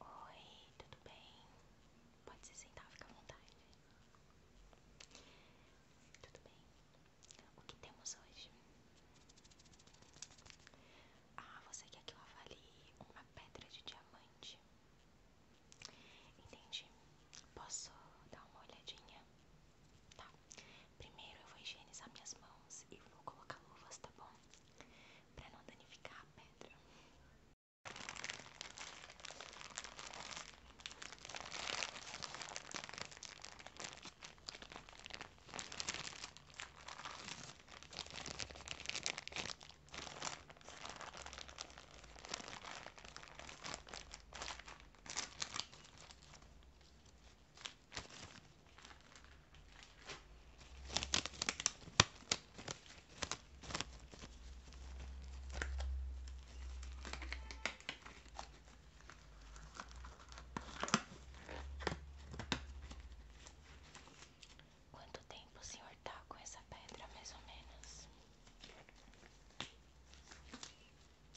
Oi, tudo bem? Pode se sentar, fica à vontade. Tudo bem? O que temos hoje? Ah, você quer que eu avalie uma pedra de diamante? Entendi. Posso dar uma olhadinha? Tá. Primeiro eu vou higienizar minhas mãos e vou colocar luvas, tá bom? Pra não danificar a pedra. Quanto tempo o senhor está com essa pedra, mais ou menos?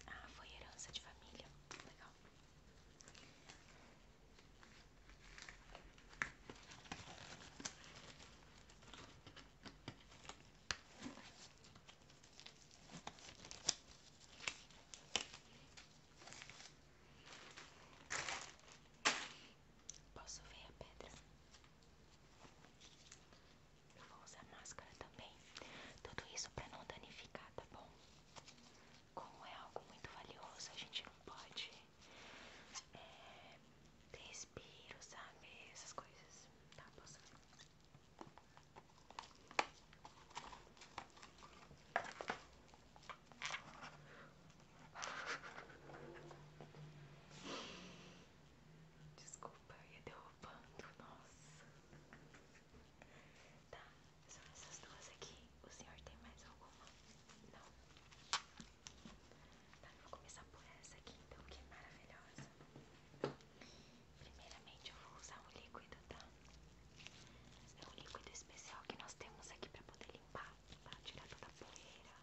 Ah, foi herança de família. Legal. Posso ver a pedra? Eu vou usar máscara também. Tudo isso para não danificar, tá bom? Como é algo muito valioso, a gente não pode é, ter respiro, sabe? Essas coisas. Tá, posso Desculpa, eu ia derrubando, nossa. Tá, são essas duas aqui. O senhor tem mais alguma? Não? Tá, eu vou começar por essa aqui então, que é maravilhosa. Primeiramente eu vou usar um líquido, tá? É um líquido especial que nós temos aqui pra poder limpar, tá? Tirar toda a poeira,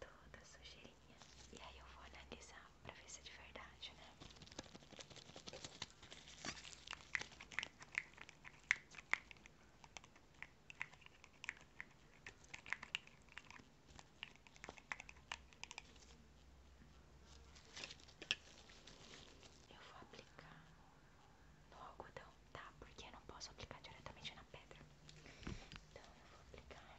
toda a sujeirinha. E aí eu vou analisar pra ver se é de verdade, né? Eu vou aplicar no algodão, tá? Porque eu não posso aplicar diretamente na pedra. Então eu vou aplicar.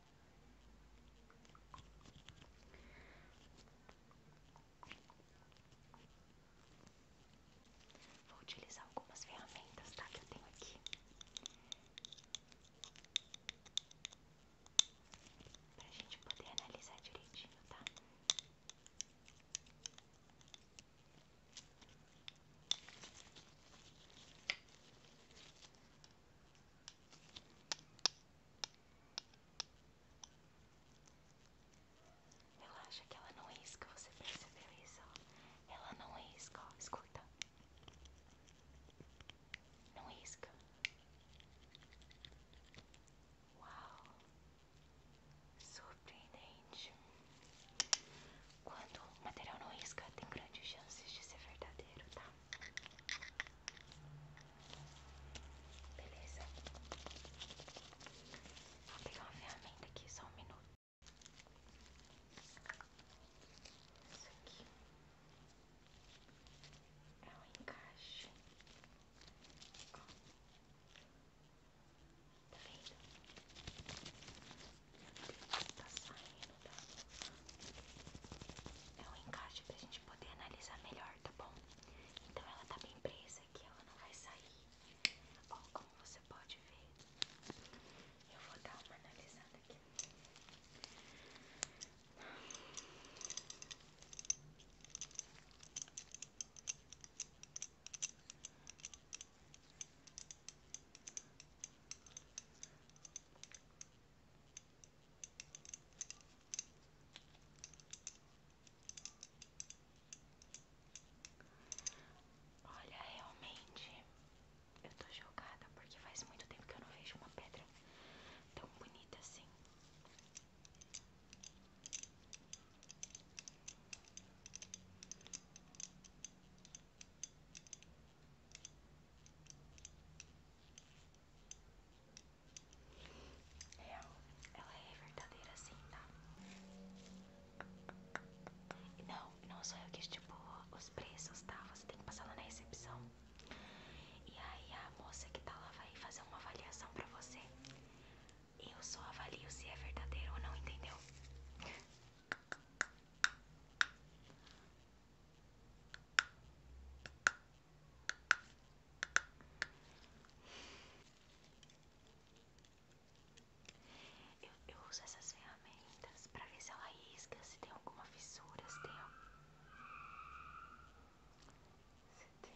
Vou utilizar algumas ferramentas, tá? Que eu tenho aqui. Pra gente poder analisar direitinho, tá? Relaxa que ela não é isca você percebeu isso? Ela não risca, é ó. escuta. Não risca. É Uau! Surpreendente. Quando o material não isca tem grandes chances de ser verdadeiro, tá? Beleza. Vou pegar uma ferramenta aqui, só um minuto. Isso aqui é um encaixe. Tá vendo? Tá saindo menino da É um encaixe pra gente poder analisar melhor, tá bom? Então ela tá bem presa aqui, ela não vai sair. Bom, como você pode ver, eu vou dar uma analisada aqui. Olha, realmente eu tô chocada porque faz muito tempo que eu não vejo uma pedra tão bonita assim. É, ela é verdadeira sim tá? Não, não sou eu que estipulo os preços, tá? Você tem que passar lá na recepção. E aí a moça que tá lá vai fazer uma avaliação pra você. Eu só avalio se é verdadeiro ou não, entendeu? Eu, uso essas ferramentas para ver se ela isca, se tem alguma fissura, se tem. Se tem.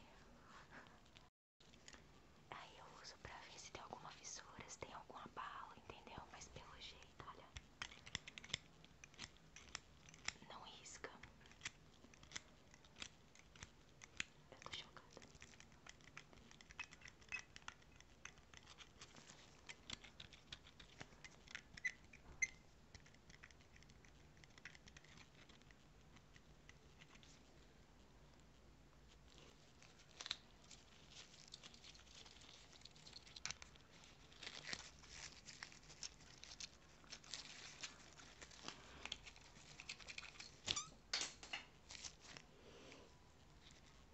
Aí eu uso pra ver se tem alguma fissura, se tem alguma bala, entendeu? Mas pelo jeito, olha. Não risca. Eu tô chocada.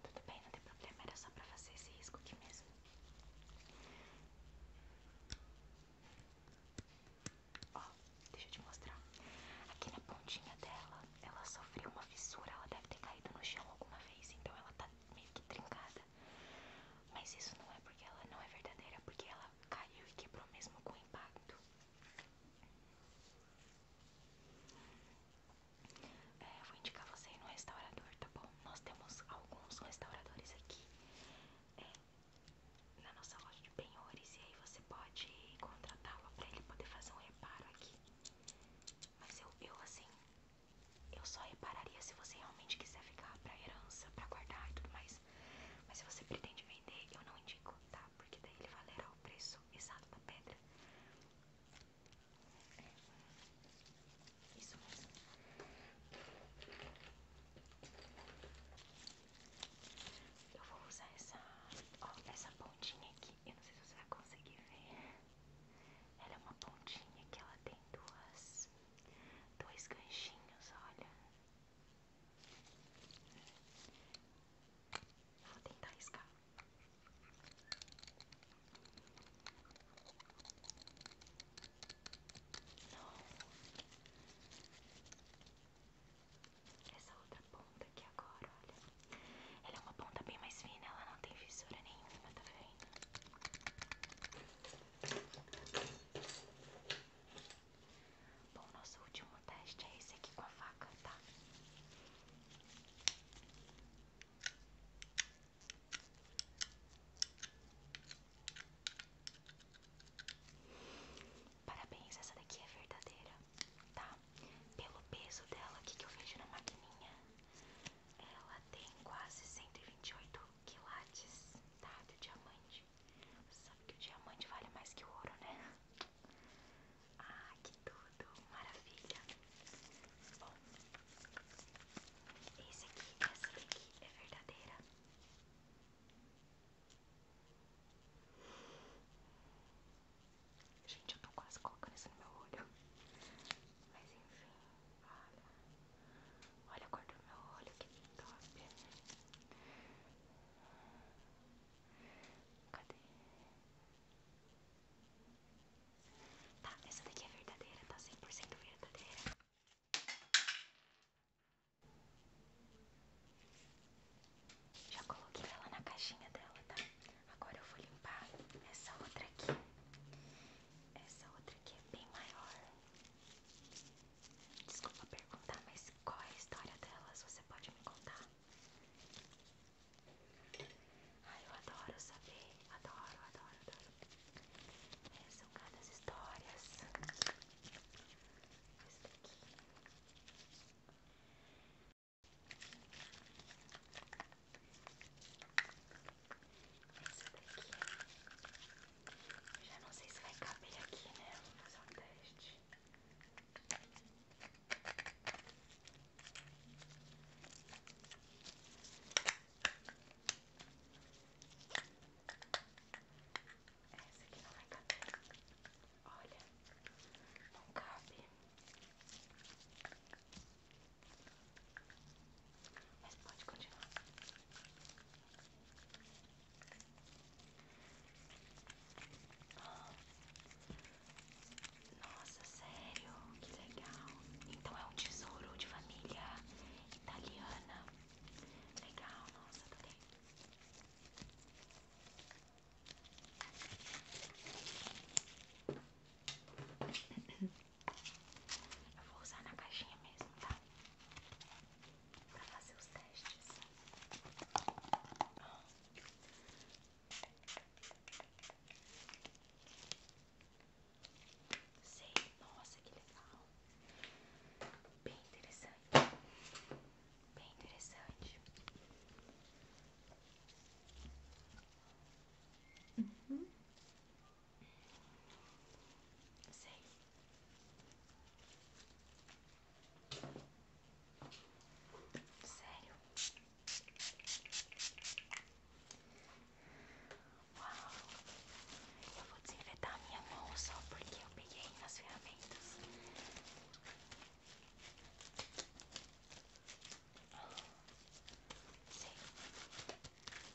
Tudo bem, não tem problema, era só pra fazer esse risco aqui mesmo. Ó, deixa eu te mostrar. Aqui na pontinha dela, ela sofreu uma fissura, ela deve ter caído no chão alguma vez, então ela tá meio que trincada. Mas isso não é porque ela não é verdadeira, é porque ela caiu e quebrou mesmo com o impacto. É, eu vou indicar você ir no restaurador, tá bom? Nós temos alguns restauradores aqui é, na nossa loja de penhores, e aí você pode contratá-lo para ele poder fazer um reparo aqui. Mas eu assim, eu só repararia se você realmente quiser ficar pra herança, pra guardar e tudo mais. Mas se você pretende vender, eu não indico, tá? Porque daí ele valerá o preço exato da pedra. Isso mesmo. Eu vou usar essa, ó, essa pontinha aqui. Eu não sei se você vai conseguir ver. Ela é uma pontinha que ela tem duas Dois ganchinhos, olha. Vou tentar riscar. Não. Essa outra ponta aqui agora, olha. Ela é uma ponta bem mais fina, ela não tem fissura nenhuma, tá vendo? Bom, nosso último teste é esse aqui com a faca, tá? Parabéns, essa daqui é verdadeira, tá? Pelo peso dela aqui que eu vejo na maquininha, ela tem quase 128 quilates, tá? Do diamante. Você sabe que o diamante vale mais que o ouro, né? Ah, que tudo! Maravilha! Bom, esse aqui, essa aqui é verdadeira. Gente, eu tô quase colocando isso no meu olho. Mas enfim, Olha. Olha a cor do meu olho, que top. Cadê? Tá, essa daqui é verdadeira, tá 100% verdadeira. Já coloquei ela na caixinha dela, tá? Agora eu vou limpar essa outra aqui. Essa outra aqui é bem maior. Desculpa perguntar, mas qual é a história delas? Você pode me contar? Ai, eu adoro saber. Adoro, adoro, adoro. É, são cada histórias. Esse daqui. Esse daqui já não sei se vai caber aqui, né? Vou fazer um teste. Essa aqui não vai caber. Olha, não cabe. Mas pode continuar. Nossa, sério? Que legal. Então é um tesouro de família italiana. Legal, nossa, adorei. Tá Eu vou usar na caixinha mesmo, tá? para fazer os testes. Sei, nossa, que legal. Bem interessante. Bem interessante. Uhum. Sei. Sério? Uau! Eu vou desinfetar a minha mão só porque eu peguei nas ferramentas. Sim.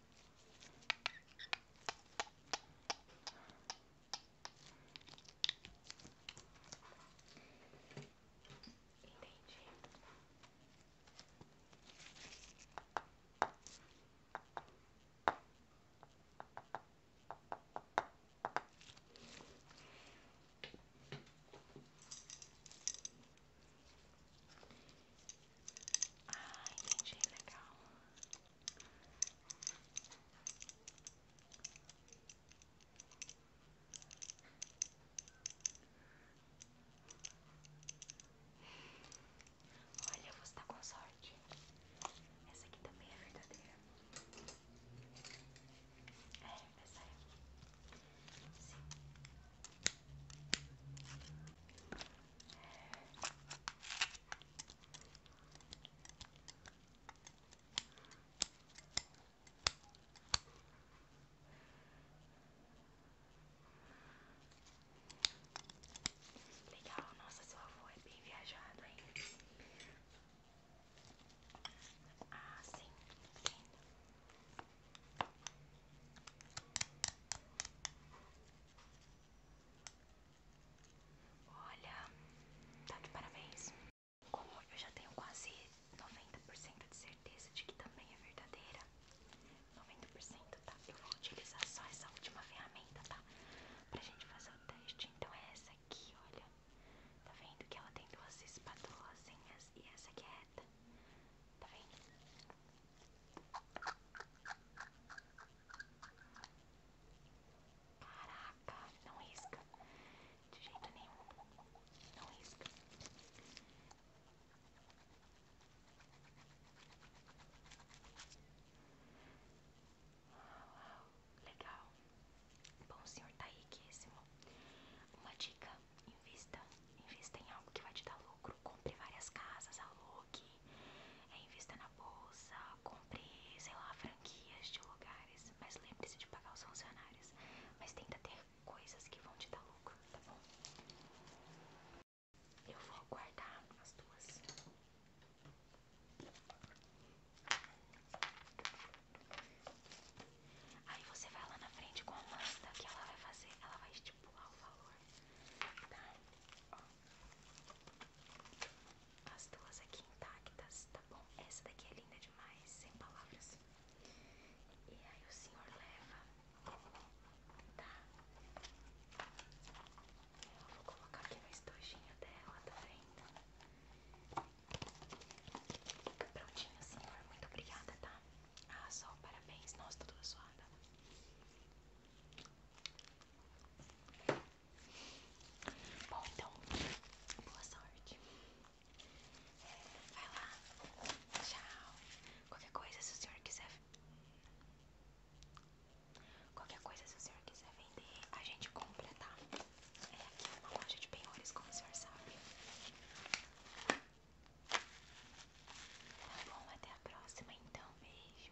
Entendi. Ah, entendi, legal. Olha, você está com sorte. Essa aqui também é verdadeira. É, essa é. Sim. Legal, nossa, sua voz é bem viajada hein? Ah, sim, Olha, tá de parabéns. Como eu já tenho quase 90% de certeza de que também é verdadeira, 90% tá? Eu vou utilizar só essa última ferramenta, tá? Pra gente fazer o teste. Então é essa aqui, olha. Tá vendo que ela tem duas espatulazinhas e essa aqui é reta. Tá vendo? Caraca, não risca. De jeito nenhum. Não risca. legal. Bom, senhor tá riquíssimo. Uma dica: invista. Invista em algo que vai te dar lucro. Compre várias casas, alugue Facebook, é invista na bolsa, compre, sei lá, franquias de lugares, mas lembre-se de pagar os funcionários. Mas tenta ter coisas que vão te dar lucro, tá bom? Eu vou guardar as duas. Aí você vai lá na frente com a Amanda que ela vai fazer, ela vai estipular o valor, tá? Ó. As duas aqui intactas, tá bom? Essa daqui é linda demais, sem palavras. E aí o senhor leva, tá? Eu vou colocar aqui no estojinho dela, tá vendo? Prontinho, senhor. Muito obrigada, tá? Ah, só parabéns. Nossa, tudo tá toda suada. Bom, então, boa sorte. É, vai lá. Tchau. Qualquer coisa, se o senhor quiser. Qualquer coisa, se o senhor quiser vender, a gente compra, tá? É aqui é uma loja de penhores, como o senhor sabe. Tá bom, até a próxima então. Beijo.